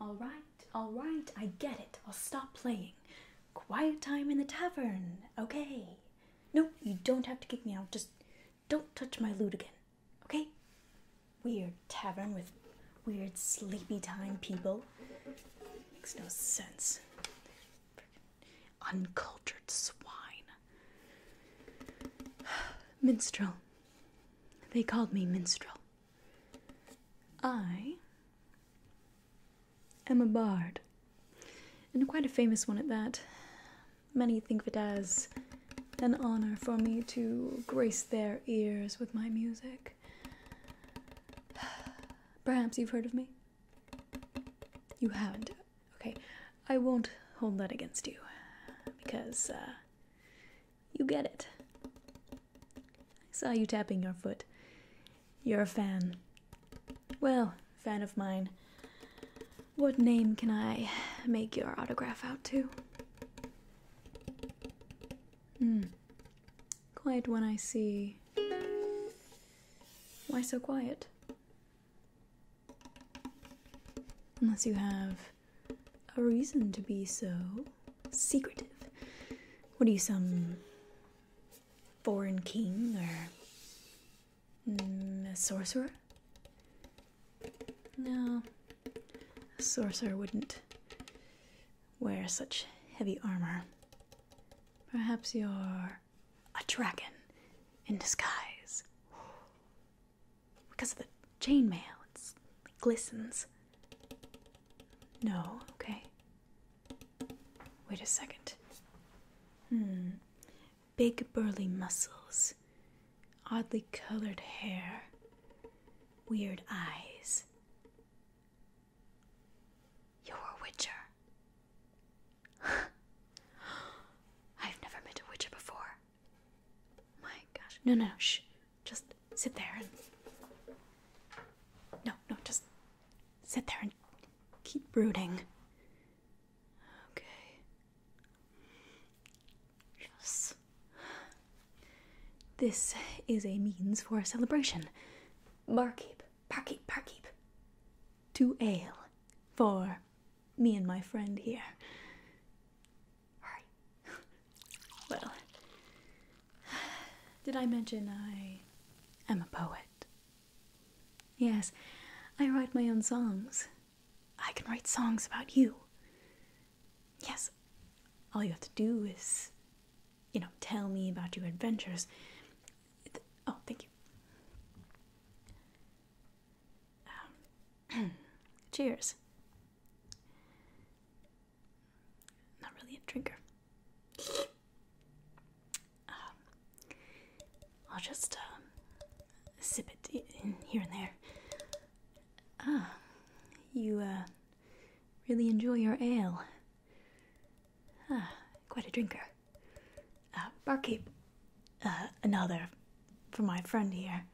All right, all right, I get it. I'll stop playing. Quiet time in the tavern, okay? No, you don't have to kick me out. Just don't touch my loot again, okay? Weird tavern with weird sleepy time people. Makes no sense. uncultured swine. minstrel. They called me minstrel. I am a bard, and quite a famous one at that. Many think of it as an honor for me to grace their ears with my music. Perhaps you've heard of me? You haven't. Okay, I won't hold that against you because uh, you get it. I saw you tapping your foot. You're a fan. Well, fan of mine. What name can I make your autograph out to? Hmm. Quiet when I see. Why so quiet? Unless you have a reason to be so secretive. What are you, some foreign king or mm, a sorcerer? No, a sorcerer wouldn't wear such heavy armor. Perhaps you're a dragon in disguise. Because of the chainmail, it glistens. No, okay. Wait a second. Hmm. Big burly muscles, oddly colored hair, weird eyes. You're a witcher. I've never met a witcher before. My gosh. No, no, no. Shh. Just sit there and. No, no, just sit there and keep brooding. Okay. Yes. This is a means for a celebration. Barkeep, barkeep, barkeep. Two ale for me and my friend here. Alright. Well, did I mention I am a poet? Yes, I write my own songs. I can write songs about you. Yes, all you have to do is you know, tell me about your adventures. Oh, thank you. Um, cheers. Not really a drinker. Um, I'll just um, sip it in here and there. Ah, you, uh, Really enjoy your ale. Ah, quite a drinker. Uh, barkeep, uh, another for my friend here.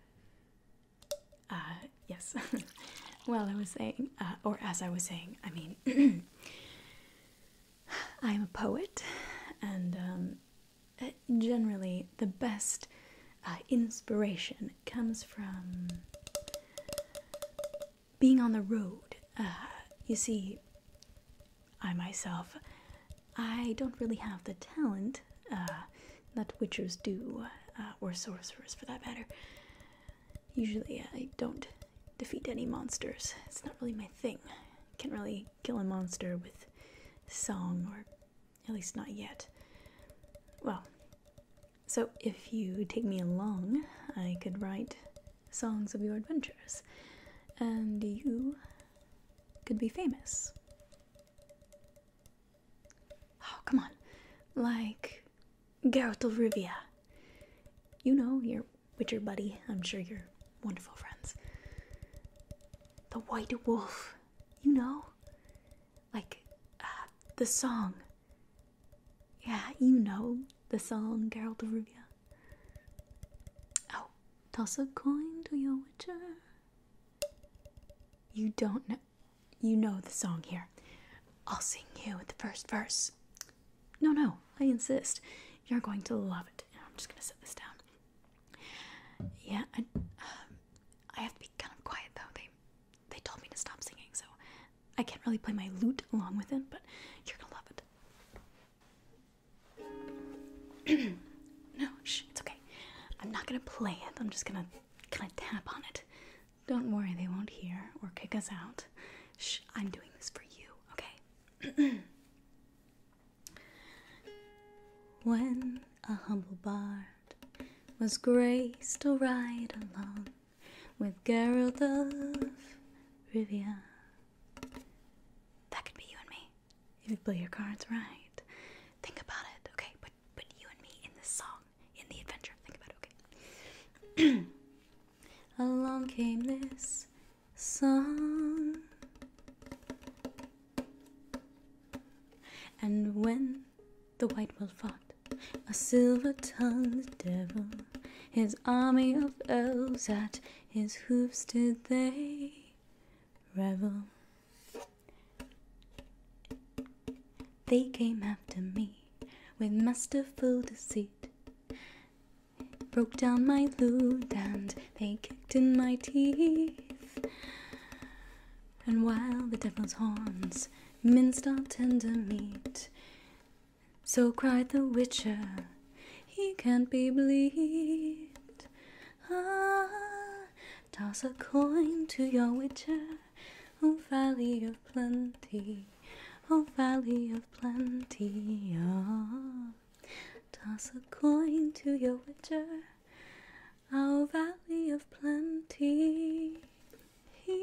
Uh, yes. well, I was saying, uh, or as I was saying, I mean, I am a poet, and um, uh, generally the best uh, inspiration comes from being on the road. Uh, you see, I myself, I don't really have the talent uh, that witches do, uh, or sorcerers for that matter. Usually, I don't defeat any monsters. It's not really my thing. Can't really kill a monster with song, or at least not yet. Well, so, if you take me along, I could write songs of your adventures, and you could be famous. Oh, come on. Like Geralt You know, your witcher buddy. I'm sure you're wonderful friends. The White Wolf. You know? like uh, the song. Yeah, you know the song, Geralt of Rivia. Oh, toss a coin to your witcher. You don't know. You know the song here. I'll sing you the first verse. No, no, I insist. You're going to love it. I'm just gonna set this down. Yeah, I, uh, have to kind of quiet though. They they told me to stop singing, so I can't really play my lute along with it, but you're gonna love it. no, shh, it's okay. I'm not gonna play it, I'm just gonna kind of tap on it. Don't worry, they won't hear or kick us out. Shh, I'm doing this for you, okay? when a humble bard was graced to ride along with Geralt of Rivia. That could be you and me if you play your cards right. Think about it, okay? But but you and me in the song, in the adventure. Think about it, okay? Along came this song, and when the white will fought a silver-tongued devil. His army of elves at his hoofs did they revel. They came after me with masterful deceit. Broke down my lute and they kicked in my teeth. And while the devil's horns minced on tender meat. So cried the witcher, he can't be bleed. Ah, toss a coin to your witcher, O valley of plenty, O valley of plenty. Ah, toss a coin to your witcher, O valley of plenty he.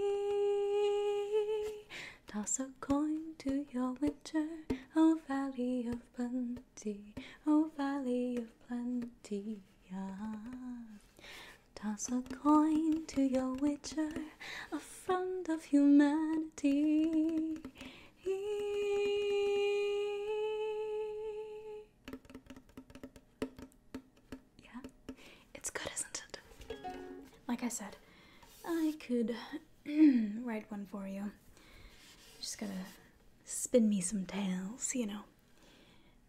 Toss a coin to your witcher, O oh, Valley of Plenty, O oh, Valley of Plenty. Yeah. Toss a coin to your witcher, a friend of humanity. He. Yeah? It's good, isn't it? Like I said, I could write one for you. Just going to spin me some tales, you know.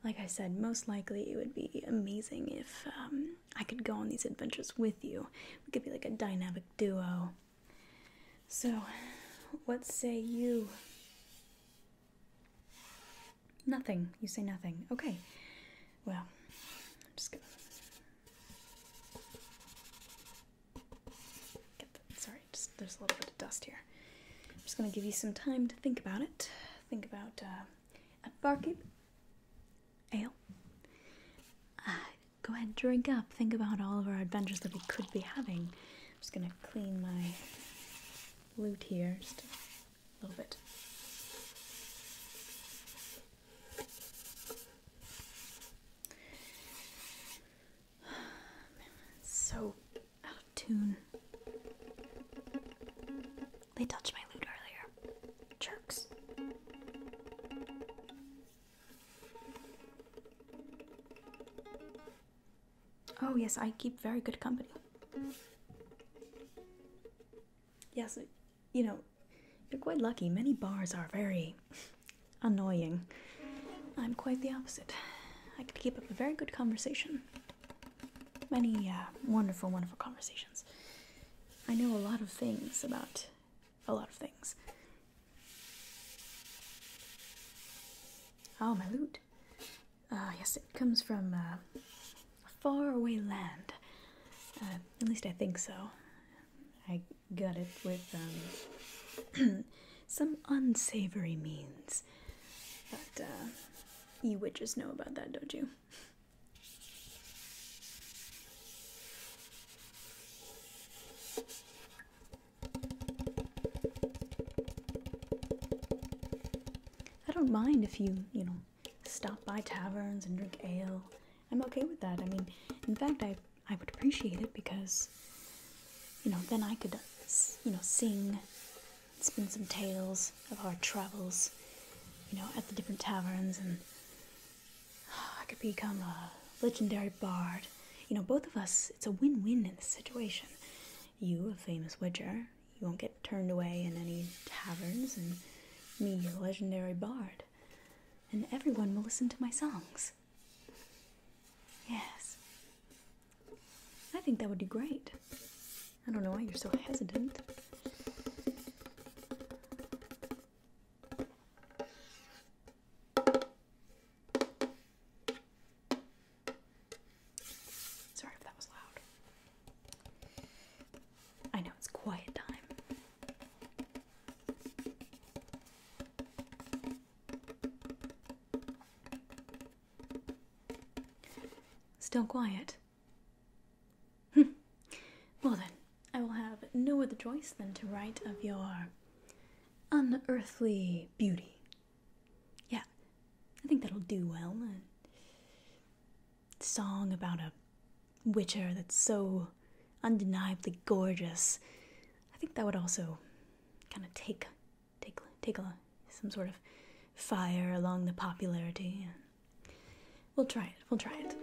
Like I said, most likely it would be amazing if um, I could go on these adventures with you. We could be like a dynamic duo. So, what say you? Nothing. You say nothing. Okay. Well, I'm just gonna get Sorry, just, there's a little bit of dust here. I'm just gonna give you some time to think about it. Think about uh, a barkeep ale. Uh, go ahead, drink up. Think about all of our adventures that we could be having. I'm just gonna clean my loot here. Love it. So out of tune. They touched my lute earlier. Jerks. Oh, yes, I keep very good company. Yes, you know, you're quite lucky. Many bars are very annoying. I'm quite the opposite. I can keep up a very good conversation. Many uh, wonderful, wonderful conversations. I know a lot of things about a lot of things. Oh, my loot. Ah, yes, it comes from uh, a faraway land. Uh, at least I think so. I got it with um, some unsavory means. But uh, you witches know about that, don't you? I don't mind if you, you know, stop by taverns and drink ale. I'm okay with that. I mean, in fact, I I would appreciate it because, you know, then I could, you know, sing, spin some tales of our travels, you know, at the different taverns, and I could become a legendary bard. You know, both of us. It's a win-win in this situation you, a famous widger, you won't get turned away in any taverns, and me, a legendary bard, and everyone will listen to my songs. Yes. I think that would be great. I don't know why you're so hesitant. Sorry if that was loud. I know it's quiet time. Still quiet. Hmm. Well then, I will have no other choice than to write of your unearthly beauty. Yeah, I think that'll do well song about a witcher that's so undeniably gorgeous, I think that would also kind of take take take some sort of fire along the popularity. We'll try it. We'll try it.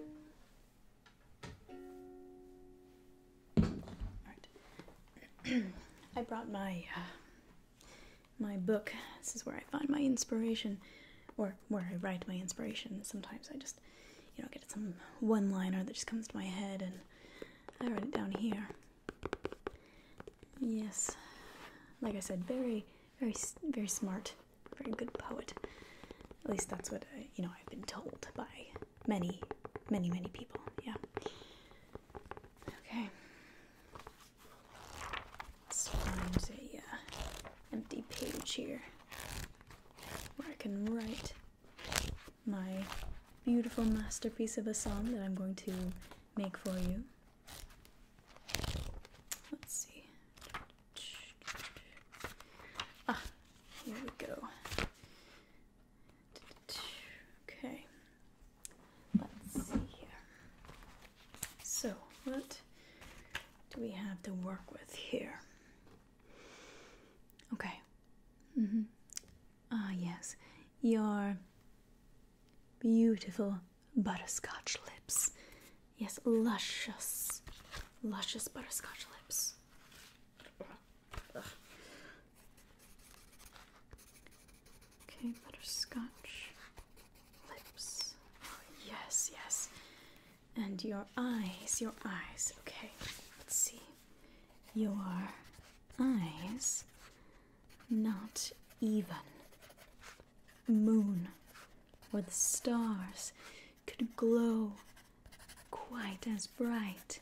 All right. I brought my uh, my book. This is where I find my inspiration, or where I write my inspiration. Sometimes I just, you know, get some one liner that just comes to my head and I write it down here. Yes, like I said, very, very, very smart, very good poet. At least that's what, I, you know, I've been told by many, many, many people. Yeah. Okay. It's us to a an uh, empty page here where I can write my beautiful masterpiece of a song that I'm going to make for you. Let's see. Ah, here we go. Okay. Let's see here. So, what do we have to work with here? Okay. Mm-hmm. Ah, yes. Your beautiful butterscotch lips. Yes, luscious, luscious butterscotch lips. Okay, butterscotch lips. Oh, yes, yes. And your eyes, your eyes. Okay, let's see. Your eyes. Not even. Moon or the stars could glow quite as bright.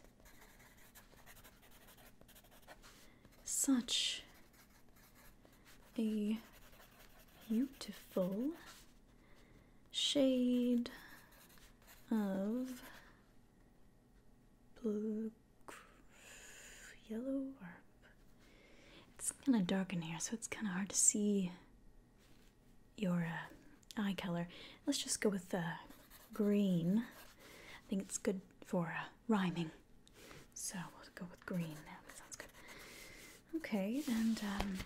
Such a beautiful shade of blue yellow it's kind of dark in here so it's kind of hard to see your uh, eye color let's just go with the uh, green i think it's good for uh, rhyming so we'll go with green now. That sounds good. Okay, and um,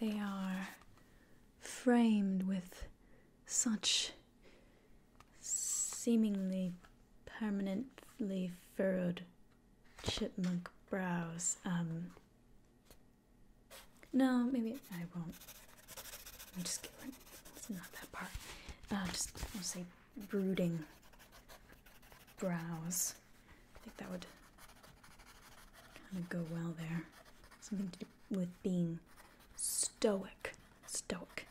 they are framed with such seemingly permanently furrowed chipmunk brows. Um, no, maybe I won't. I'm just kidding. It's not that part. Uh, just I'll say brooding brows. I think that would kind of go well there. Something to do with being stoic. Stoic.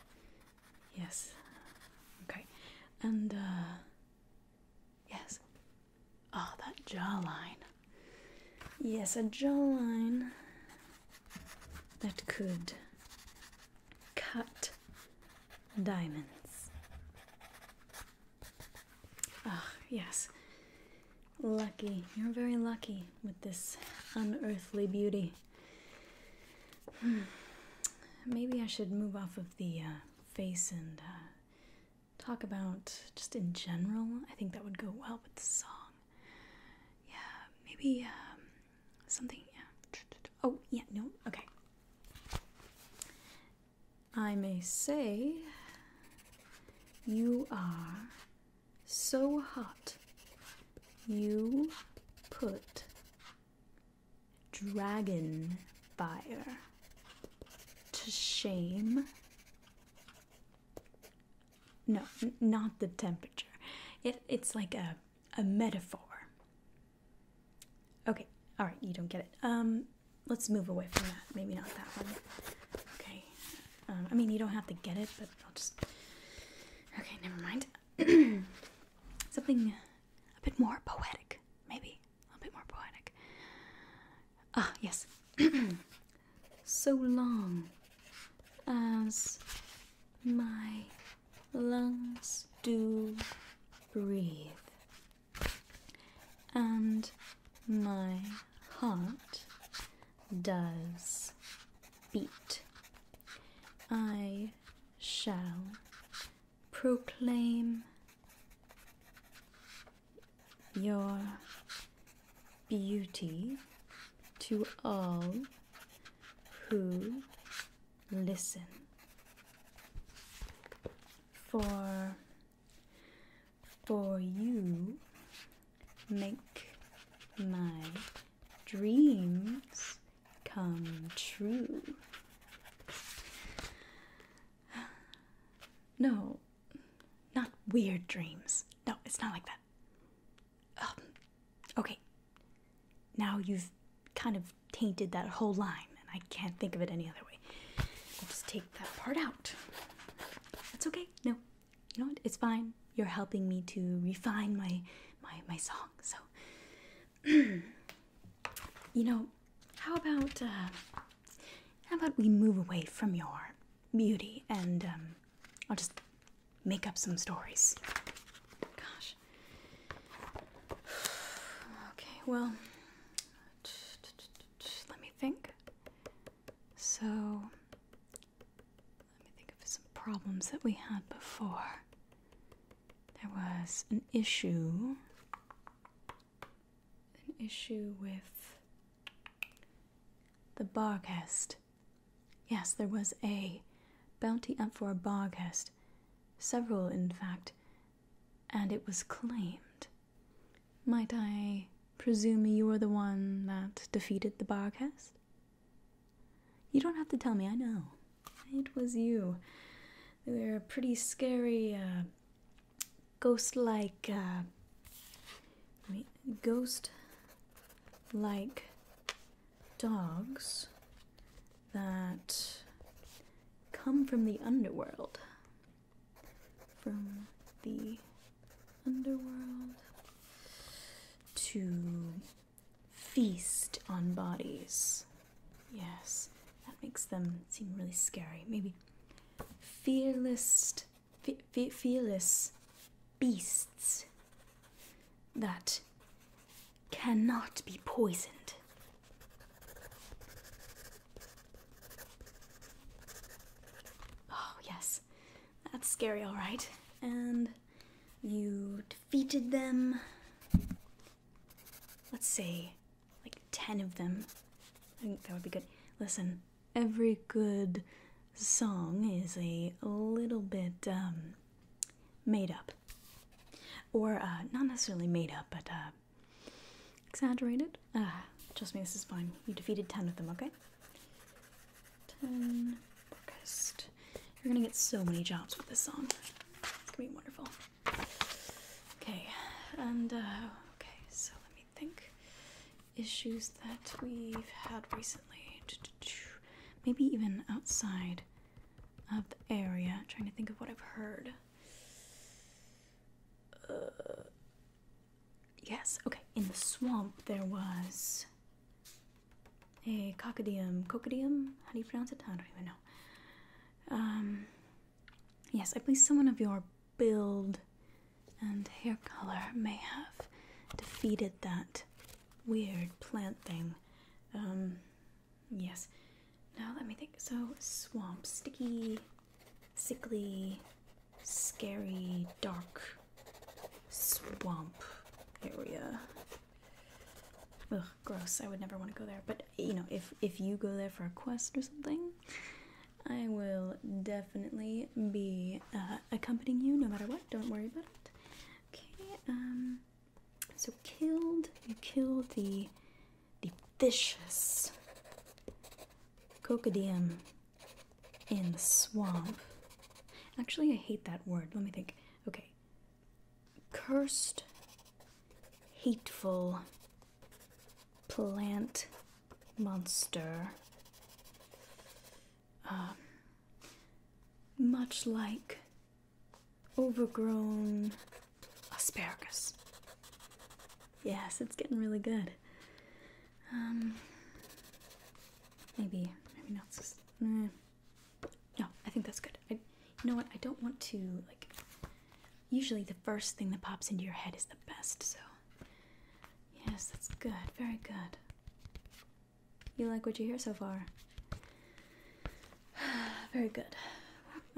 Yes. Okay. And, uh, yes. Oh, that jawline. Yes, a jawline that could cut diamonds. Ah, yes. Lucky. You're very lucky with this unearthly beauty. Hmm. Maybe I should move off of the uh, face and uh, talk about just in general. I think that would go well with the song. Yeah, maybe um, something. Yeah. Oh, yeah, no. Okay. I may say you are so hot. You put dragon fire to shame. No, not the temperature. it's like a, a metaphor Okay, all right, you don't get it. Um, let's move away from that. Maybe not that one. Okay. Um, I mean, you don't have to get it, but I'll just. Okay, never mind. Something a bit more poetic, maybe. A bit more poetic. Ah, yes. so long as my lungs do breathe, and my heart does beat. I shall proclaim your beauty to all who listen for for you make my dreams come true no not weird dreams no it's not like that um, okay now you've kind of tainted that whole line, and I can't think of it any other way. I'll just take that part out. That's okay. No, you know what? It's fine. You're helping me to refine my my my song. So, you know, how about uh, how about we move away from your beauty and um, I'll just make up some stories. Gosh, Okay, well, let me think. So, let me think of some problems that we had before. There was an issue. An issue with the Barghest. Yes, there was a bounty up for a Barghest several in fact, and it was claimed. Might I presume you were the one that defeated the Barcast? You don't have to tell me, I know. It was you. They were a pretty scary, uh, ghost like, uh, ghost like dogs that come from the underworld. From the underworld to feast on bodies. Yes, that makes them seem really scary. Maybe fearless, fearless beasts that cannot be poisoned. Oh, yes. That's scary, alright. And you defeated them. Let's say, like 10 of them. I think that would be good. Listen, every good song is a little bit um, made up or uh, not necessarily made up, but uh, exaggerated. Ah, trust me, this is fine. You defeated ten of them, okay? Ten You're gonna get so many jobs with this song. It's gonna be wonderful. Okay, and uh, okay, so let me think. Issues that we've had recently, maybe even outside of the area. trying to think of what I've heard. Uh, yes, okay. In the swamp, there was a cocodium. Cocodium? How do you pronounce it? I don't even know. Um, yes, I believe someone of your build and hair color may have defeated that weird plant thing. Um, Yes. Now let me think. So, swamp, sticky, sickly, scary, dark, swamp area. Ugh, gross. I would never want to go there. But, you know, if, if you go there for a quest or something, I will definitely be uh, accompanying you no matter what. Don't worry about it. Okay, um. So killed, you killed the the vicious cocodium in the swamp. Actually, I hate that word. Let me think. Okay. Cursed, hateful plant monster. Um, much like overgrown asparagus. Yes, it's getting really good. Um, maybe, maybe not. Just, mm. No, I think that's good. I, you know what? I don't want to like. Usually, the first thing that pops into your head is the best. So, yes, that's good. Very good. You like what you hear so far? Very good.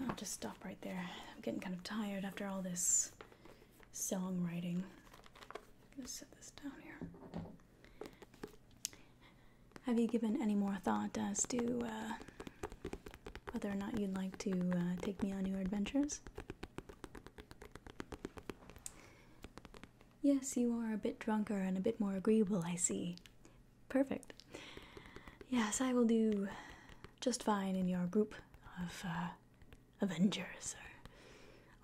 I'll just stop right there. I'm getting kind of tired after all this songwriting. I'm gonna set this down here. Have you given any more thought as to uh, whether or not you'd like to uh, take me on your adventures? Yes, you are a bit drunker and a bit more agreeable, I see. Perfect. Yes, I will do just fine in your group of uh, Avengers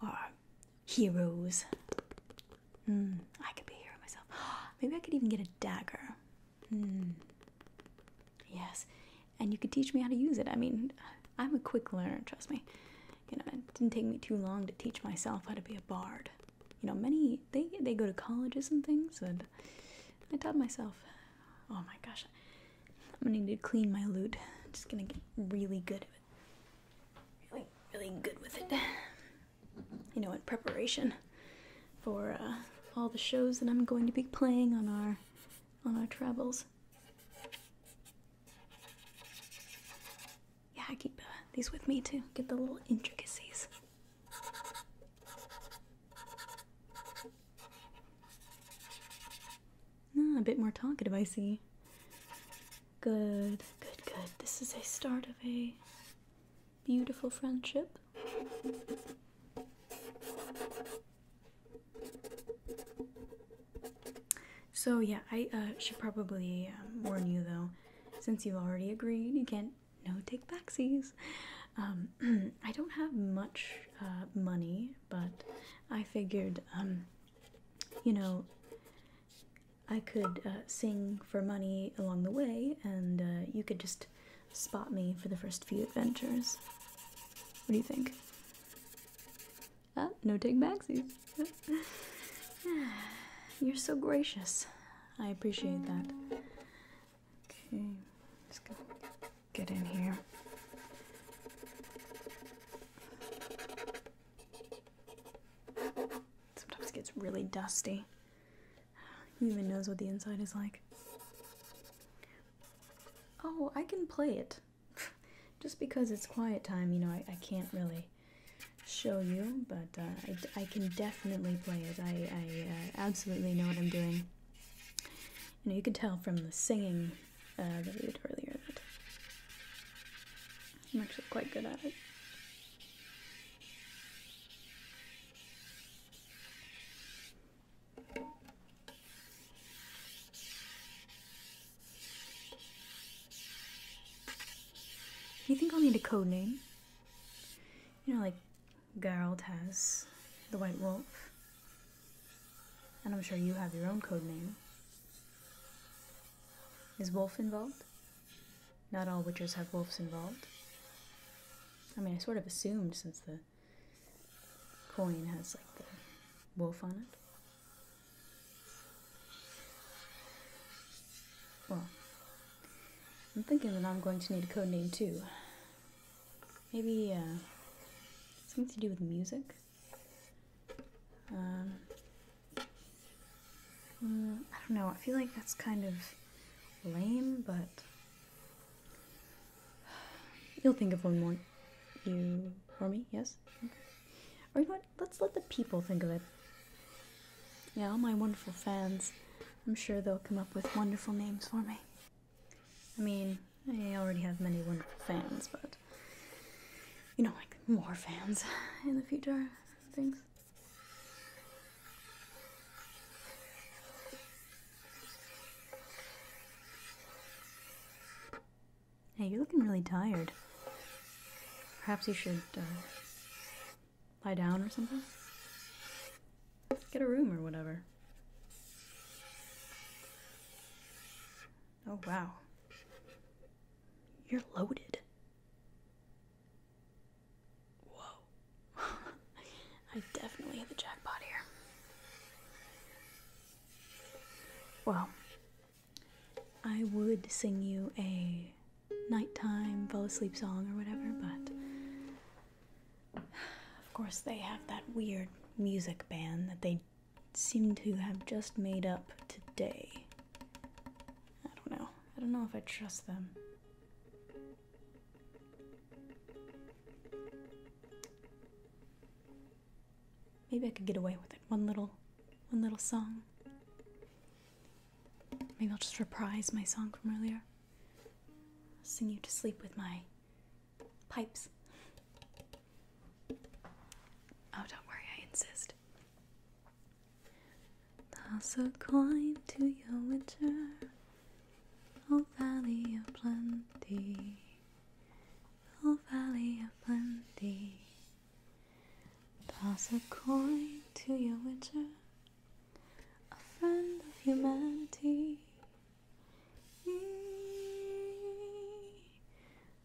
or, heroes. Hmm, I could be a myself. Maybe I could even get a dagger. Hmm. Yes, and you could teach me how to use it. I mean, I'm a quick learner, trust me. You know, it didn't take me too long to teach myself how to be a bard you know many they they go to colleges and things and i taught myself oh my gosh i'm gonna need to clean my lute I'm just gonna get really good at it really really good with it you know in preparation for uh, all the shows that i'm going to be playing on our on our travels yeah, I keep uh, these with me too. get the little intricacies. Ah, a bit more talkative, I see. Good, good, good. This is a start of a beautiful friendship. So yeah, I uh, should probably um, warn you though since you've already agreed, you can't no take backsies. Um, I don't have much uh, money, but I figured, um, you know, I could uh, sing for money along the way, and uh, you could just spot me for the first few adventures. What do you think? Ah, no take backsies. Ah, you're so gracious. I appreciate that. Okay, just gonna get in here. Sometimes it gets really dusty. Who even knows what the inside is like? Oh, I can play it. Just because it's quiet time, you know, I can't really show you, but uh, I, can definitely play it. I, uh, absolutely know what I'm doing. You know, you can tell from the singing uh, that we did earlier that I'm actually quite good at it. You think I'll need a code name? You know, like Geralt has the White Wolf, and I'm sure you have your own code name. Is Wolf involved? Not all witches have wolves involved. I mean, I sort of assumed since the coin has like the wolf on it. Well, I'm thinking that I'm going to need a code name too. Maybe uh, something to do with music. Um, uh, I don't know. I feel like that's kind of lame, but you'll think of one more. You for me? Yes. Okay. you know Let's let the people think of it. Yeah, all my wonderful fans. I'm sure they'll come up with wonderful names for me. I mean, I already have many wonderful fans, but you know, like more fans in the future and things. Hey, you're looking really tired. Perhaps you should uh, lie down or something? Get a room or whatever. Oh, wow. You're loaded. Whoa. I definitely hit the jackpot here. Well, I would sing you a nighttime fall asleep song or whatever, but of course they have that weird music band that they seem to have just made up today. I don't know. I don't know if I trust them. Maybe I could get away with it. One little one little song. Maybe I'll just reprise my song from earlier. sing you to sleep with my pipes. Oh, don't worry, I insist. Toss so kind to your winter, O Valley of Plenty, O Valley of Plenty. Toss a coin to your witcher, a friend of humanity.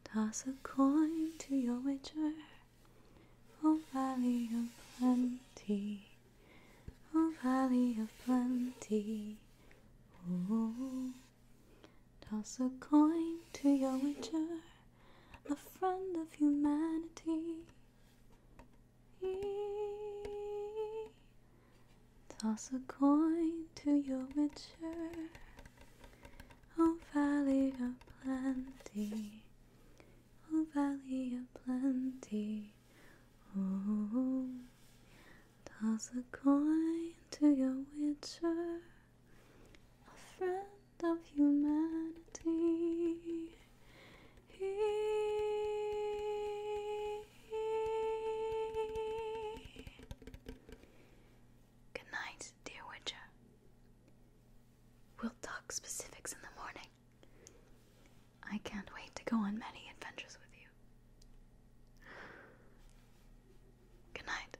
Toss a coin to your witcher, O oh, Valley of Plenty, O oh, Valley of Plenty. Ooh. Toss a coin to your witcher, a friend of humanity. Toss a coin to your witcher, O oh, Valley of Plenty, O oh, Valley of Plenty. Oh, toss a coin to your witcher, a friend of humanity. Good night, dear Witcher. We'll talk specifics in the morning. I can't wait to go on many adventures with you. Good night.